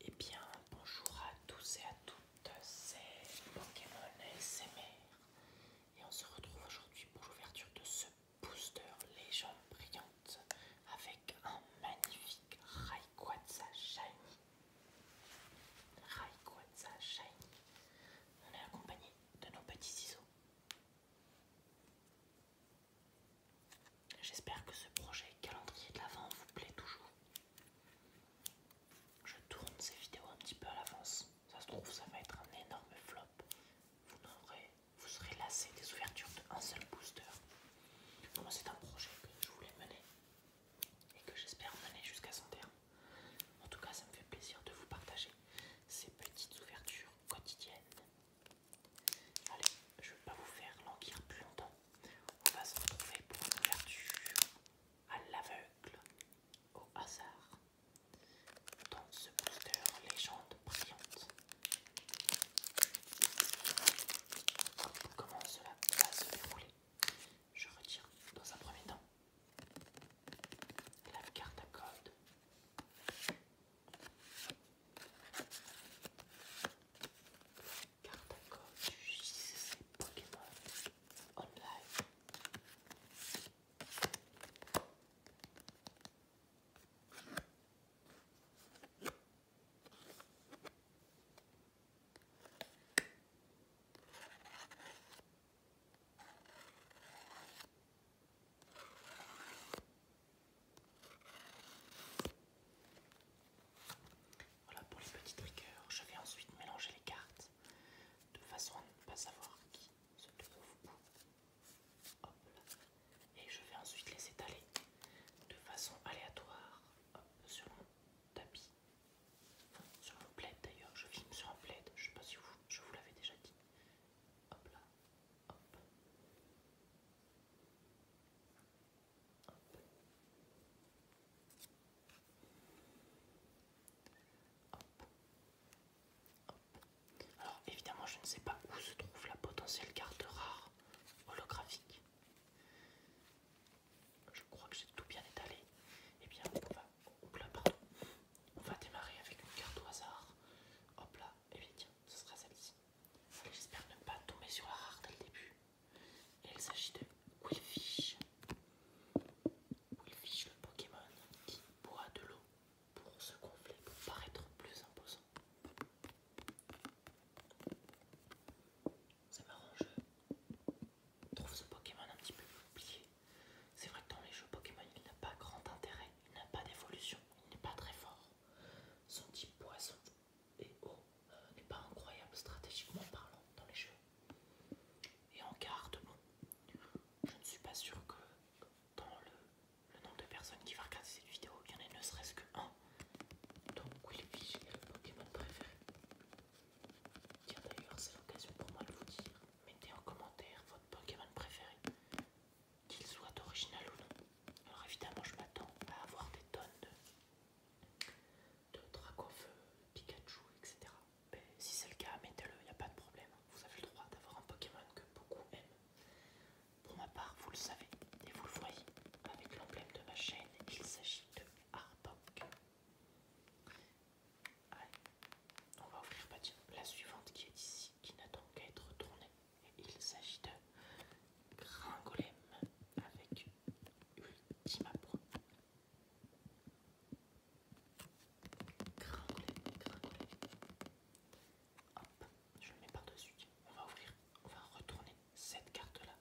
Eh bien, bonjour à tous et à toutes, c'est Pokémon SMR et on se retrouve aujourd'hui pour l'ouverture de ce booster légende brillante avec un magnifique Rayquaza Shiny. de Shiny. On est accompagné de nos petits ciseaux. J'espère que ce projet calendrier de l'avant vous plaît toujours. Je tourne ces vidéos un petit peu à l'avance. Ça se trouve, ça va être un énorme flop. Vous, vous serez lassé des ouvertures d'un seul booster. Moi, c'est un projet que je voulais mener et que j'espère mener jusqu'à son terme. En tout cas, ça me fait plaisir de vous partager ces petites ouvertures quotidiennes Allez, je ne vais pas vous faire languir plus longtemps. On va se retrouver pour une ouverture à l'aveugle, au hasard, dans ce booster légende brillante. Comment cela va se dérouler Je retire dans un premier temps la carte à code carte à code du JCC Pokémon Online. Voilà pour les petits triggers. Je vais ensuite mélanger les cartes de façon à ne pas savoir qui se trouve où. Hop Et je vais ensuite les étaler de façon aléatoire sur mon tapis. sur mon plaid d'ailleurs. Je filme sur un plaid. Je ne sais pas si je vous l'avais déjà dit. Hop là. Hop. Alors évidemment je ne sais pas où se trouve la potentielle carte rare holographique. Je crois que j'ai tout bien étalé. Eh bien on va, oh, on va démarrer avec une carte au hasard. Hop là, et eh bien tiens, ce sera celle-ci. J'espère ne pas tomber sur la rare dès le début. il s'agit de Willfish. Willfish, le Pokémon qui boit de l'eau pour se gonfler, pour paraître plus imposant. C'est marrant, je trouve ce Pokémon un petit peu oublié. C'est vrai que dans les jeux Pokémon, il n'a pas grand intérêt, il n'a pas d'évolution, il n'est pas très fort. Son type poisson et oh euh, n'est pas incroyable stratégiquement parlant dans les jeux. Et en carte, bon, je ne suis pas sûr que dans le, nombre de personnes qui va regarder cette vidéo, il y en ait ne serait-ce que un. Donc oui, est le Pokémon préféré. Tiens d'ailleurs, c'est l'occasion pour moi de vous dire, mettez en commentaire votre Pokémon préféré, qu'il soit original ou non. Alors évidemment, je m'attends à avoir des tonnes de de Dracofeu, Pikachu, etc. si c'est le cas, mettez-le, il n'y a pas de problème. Vous avez le droit d'avoir un Pokémon que beaucoup aiment. Pour ma part, vous le savez et vous le voyez avec l'emblème de ma chaîne, il s'agit de Arbok. Allez, on va ouvrir bah, la suivante qui est ici, qui n'attend qu'à être tournée. Il s'agit de Gringolem avec Ultima Gringolem, Gringolem. Hop, je le mets par-dessus. On va ouvrir, on va retourner cette carte-là.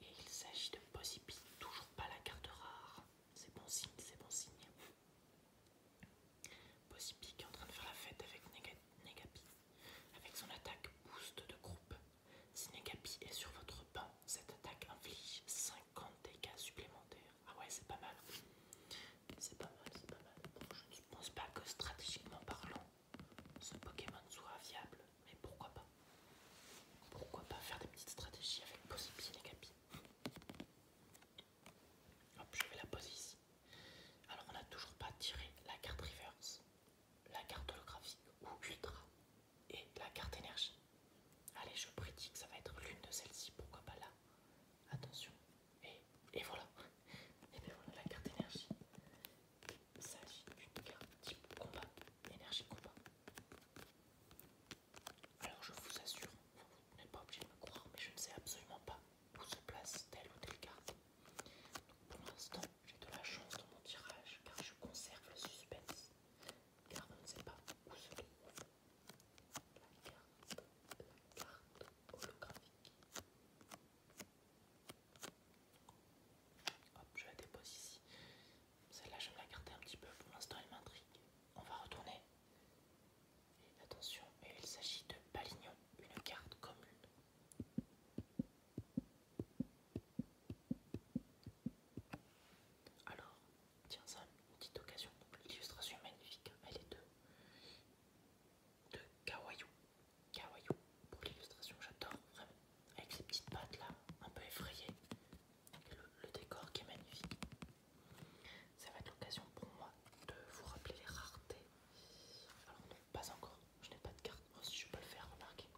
Et il s'agit de Possipi, toujours pas la carte rare. C'est bon signe, c'est bon signe. Possipi qui est en train de faire la fête avec Negapi. Avec son attaque boost de groupe, si est sur votre banc, cette attaque inflige 50 dégâts supplémentaires. Ah ouais, c'est pas mal. C'est pas mal, c'est pas mal. je ne pense pas que stratégiquement parlant, ce Pokémon soit viable, mais pourquoi pas Pourquoi pas faire des petites stratégies avec possible Negapi Hop, je vais la poser ici. Alors, on n'a toujours pas tiré la carte reverse la carte holographique ou ultra et la carte énergie. Allez, je prédis que ça va être l'une de celles-ci, pourquoi pas là Attention, et, et voilà Et bien voilà, la carte énergie. Il s'agit d'une carte type combat, énergie combat. Alors je vous assure, vous n'êtes pas obligé de me croire, mais je ne sais absolument pas où se place telle ou telle carte. Pour l'instant, j'ai de la chance dans mon tirage car je conserve le suspense. Car on ne sait pas où se trouve la carte, holographique. Hop, je la dépose ici. Celle-là, je la garder un petit peu. Pour l'instant, elle m'intrigue. On va retourner. attention, il s'agit de Palignon, une carte commune alors, tiens ça, une petite occasion. L'illustration magnifique. Elle est de, de Kawaiiou, pour l'illustration, j'adore vraiment. Avec ces petites pattes là, un peu effrayées. le, décor qui est magnifique. Ça va être l'occasion pour moi de vous rappeler les raretés. Alors pas encore. Je n'ai pas de carte, oh, si je peux le faire, remarquer.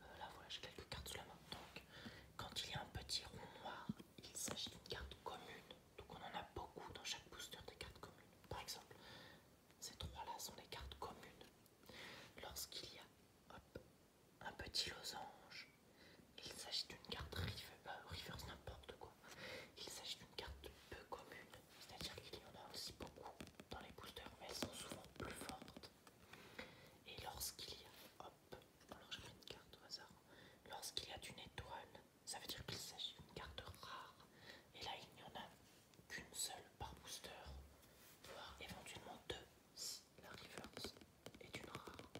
Euh, là voilà, j'ai quelques cartes sous la main. Donc, quand il y a un petit rond noir, il s'agit d'une carte commune. Donc on en a beaucoup dans chaque booster des cartes communes. Par exemple, ces trois-là sont des cartes communes. Lorsqu'il y a un petit losange, il s'agit d'une carte river, euh, n'importe quoi. Il s'agit d'une carte peu commune. C'est-à-dire qu'il y en a aussi beaucoup dans les boosters, mais elles sont souvent plus fortes. Et lorsqu'il y a... Hop, alors je une carte au hasard. Lorsqu'il y a une étoile, ça veut dire qu'il s'agit d'une carte rare. Et là, il n'y en a qu'une seule par booster, voire éventuellement deux si la reverse est une rare.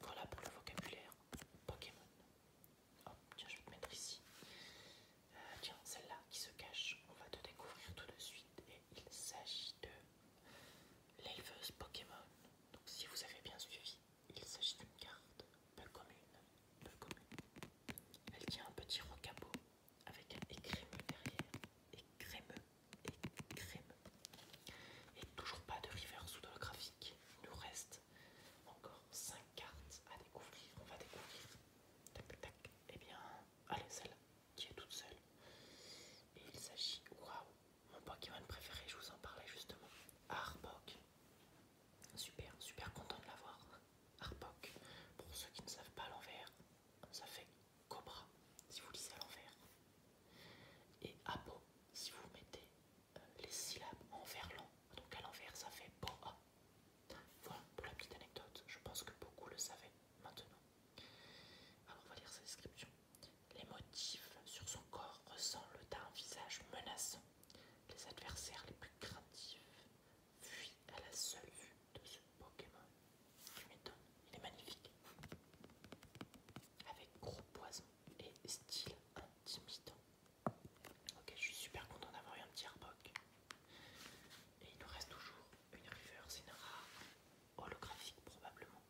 Voilà pour le vocabulaire Pokémon tiens, je vais te mettre ici. Euh, tiens, celle-là qui se cache, on va te découvrir tout de suite. Et il s'agit de l'éleveuse Pokémon. Donc, si vous avez bien suivi, il s'agit d'une carte peu commune. Peu commune. Elle tient un petit rocabo avec un écrémeux derrière. et crémeux Et toujours pas de river sous le graphique. Il nous reste encore 5 carte à découvrir, on va découvrir. Tac tac Eh bien, allez celle qui est toute seule. Et il s'agit, waouh, mon Pokémon préféré, je vous en parlais justement. Arbok. Super, super content de l'avoir. Arbok. Pour ceux qui ne savent pas l'envers, ça fait Cobra si vous lisez à l'envers. Et Apo si vous mettez euh, les syllabes en long. Donc à l'envers, ça fait bon ah. Voilà pour la petite anecdote. Je pense que beaucoup le savaient maintenant. Alors on va lire sa description. Les motifs sur son corps ressemblent à un visage menaçant. Les adversaires les plus craintifs fuient à la seule vue de ce Pokémon. Tu m'étonnes, il est magnifique. Avec gros poisons et style intimidant. Ok, je suis super content d'avoir eu un petit Arbok. Et il nous reste toujours une reverse une rare holographique probablement.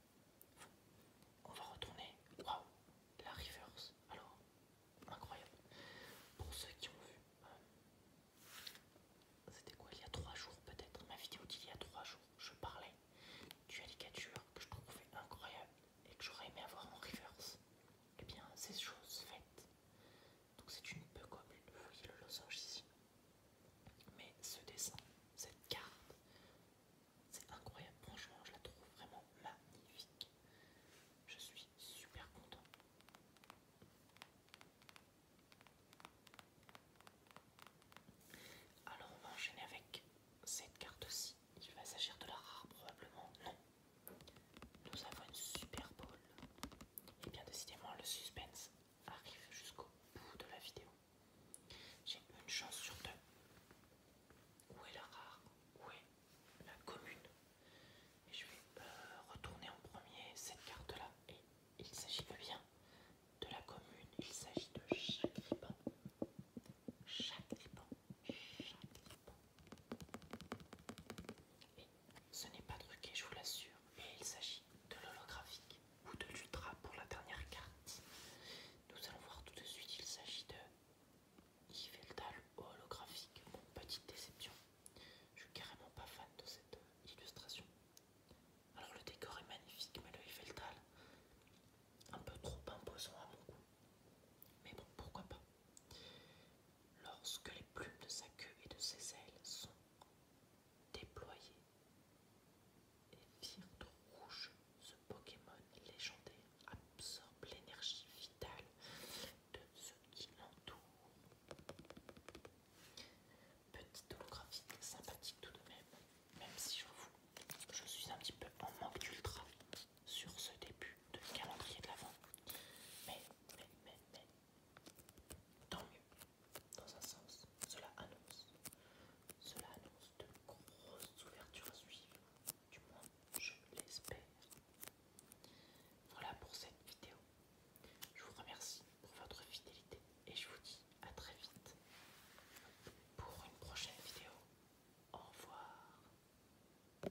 On va retourner. Waouh, la reverse. Alors, incroyable. Pour ceux qui ont vu, euh, c'était quoi il y a trois jours peut-être Ma vidéo d'il y a trois jours, je parlais du alligature que je trouvais incroyable et que j'aurais aimé avoir en reverse eh bien c'est chose faite. Donc c'est une peu comme, le losange ici. Mais ce dessin, cette carte, c'est incroyable. Franchement, je la trouve vraiment magnifique. Je suis super content. Alors on va enchaîner avec cette carte aussi Il va s'agir de la rare probablement. Non, nous avons une Super Bowl. Et bien décidément, le suspense arrive jusqu'au bout de la vidéo. J'ai une chance sur deux. Où est la rare Où est la commune Et je vais euh, retourner en premier cette carte-là. Et il s'agit bien de la commune. Il s'agit de chaque liban, Chaque liban, et ce n'est pas truqué, je vous l'assure, mais il s'agit de l'holographique ou de l'ultra pour la dernière carte. Nous allons voir tout de suite, il s'agit de Yveltal holographique. petite déception, je suis carrément pas fan de cette euh, illustration. Alors le décor est magnifique, mais le Yveltal, un peu trop imposant à mon goût. Mais bon, pourquoi pas lorsque les plumes de sa queue et de ses ailes sont déployées et virent rouge, ce Pokémon légendaire absorbe l'énergie vitale de ceux qui l'entourent. Petite holographie sympathique tout de même, même si je vous, je suis un petit peu en manque d'ultra sur ce début de calendrier de l'avant. Mais, mais, mais, mais, tant mieux. Dans un sens, cela annonce. Cela annonce de grosses ouvertures à suivre. Du moins, je l'espère. Voilà pour cette vidéo. Je vous remercie pour votre fidélité et je vous dis à très vite pour une prochaine vidéo. Au revoir.